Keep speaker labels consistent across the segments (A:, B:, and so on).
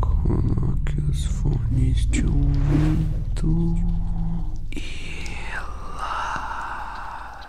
A: Coloque os fones de ouvido e relaxe.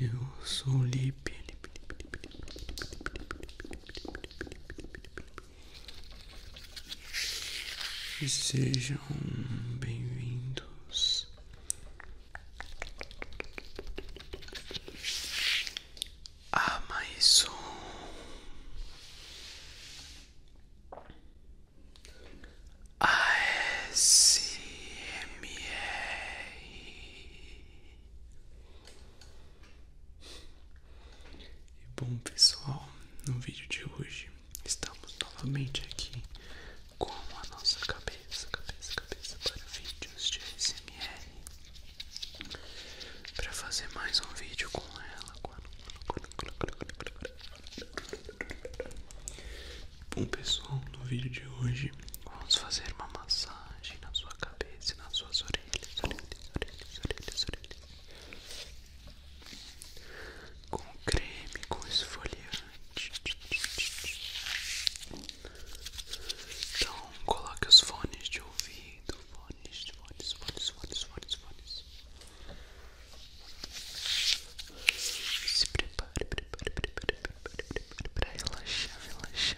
A: Eu sou o Lipe. E sejam bem-vindos a mais um ASMR. E bom pessoal, no vídeo de hoje estamos novamente aqui com a nossa cabeça, cabeça, cabeça para vídeos de ASMR para fazer mais um vídeo com ela. Bom pessoal, no vídeo de hoje vamos fazer uma massagem na sua cabeça e nas suas orelhas, orelhas, orelhas, orelhas, orelhas. Com creme, com esfoliante. Então, coloque os fones de ouvido, fones, fones, fones, fones, fones, fones. Se prepare, prepare, prepare, prepare, prepare, prepare, prepare, prepare,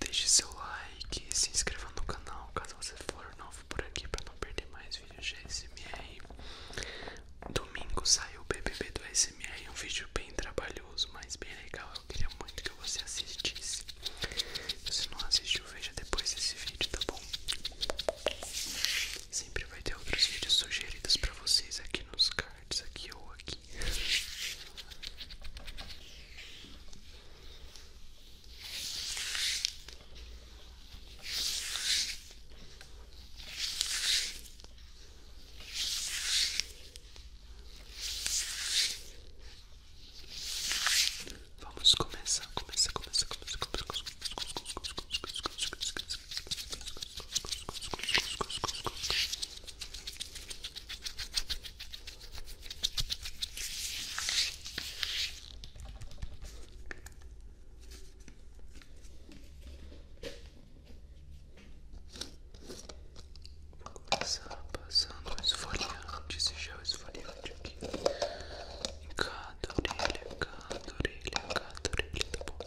A: Deixe seu like e se inscreva no canal caso você for novo por aqui para não perder mais vídeos de SMR. Domingo saiu o BBB do SMR, um vídeo bem trabalhoso, mas bem legal. Eu queria muito que você assistisse. Se não assistiu, veja depois desse vídeo, tá bom? Sempre vai ter outros vídeos sugeridos pra vocês aqui nos cards, aqui ou aqui. Vamos começar, começa, começa, começa, começa, começa, Vou começar passando o esfoliante, esse gel esfoliante aqui em cada orelha, cada orelha, cada orelha, tá bom?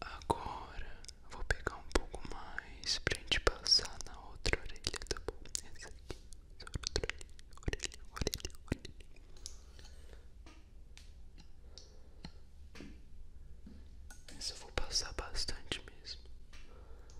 A: Agora vou pegar um pouco mais pra gente passar na outra orelha, tá bom? Essa aqui, essa outra orelha, orelha, orelha, orelha. Essa eu vou passar bastante mesmo.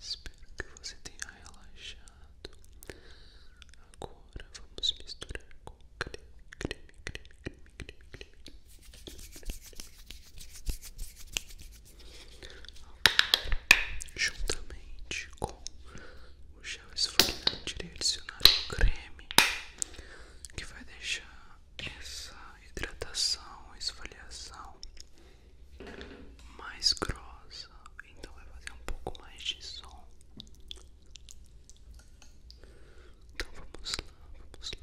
A: Espero que você tenha relaxado. Agora vamos misturar com creme, creme, creme, creme, creme, creme. Juntamente com o gel esfoliante direcionado ao creme, que vai deixar essa hidratação, esfoliação mais grossa, então vai fazer um pouco mais de som. Então vamos lá, vamos lá,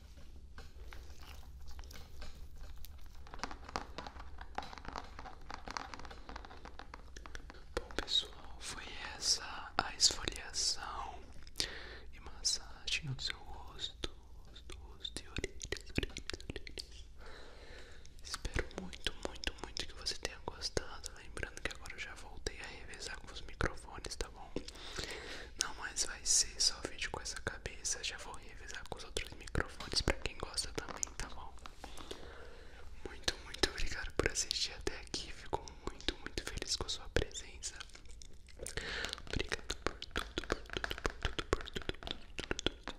A: Bom pessoal, foi essa a esfoliação e massagem no seu rosto, rosto, rosto e orelhas, Espero muito, muito, muito que você tenha gostado. Lembrando que agora eu já voltei a revezar com os microfones, tá bom? Não mais vai ser só vídeo com essa cabeça. Já vou revisar com os outros microfones pra quem gosta também, tá bom? Muito, muito obrigado por assistir até aqui. Fico muito, muito feliz com a sua presença. Obrigado por tudo, por tudo, por tudo, por tudo,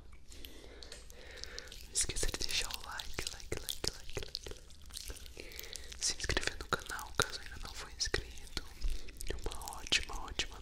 A: Não esqueça de deixar o like, like, like, like, Se inscrever no canal caso ainda não for inscrito. Uma ótima, ótima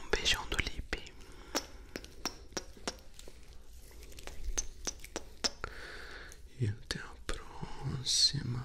A: Um beijão do Lipe. E até a próxima.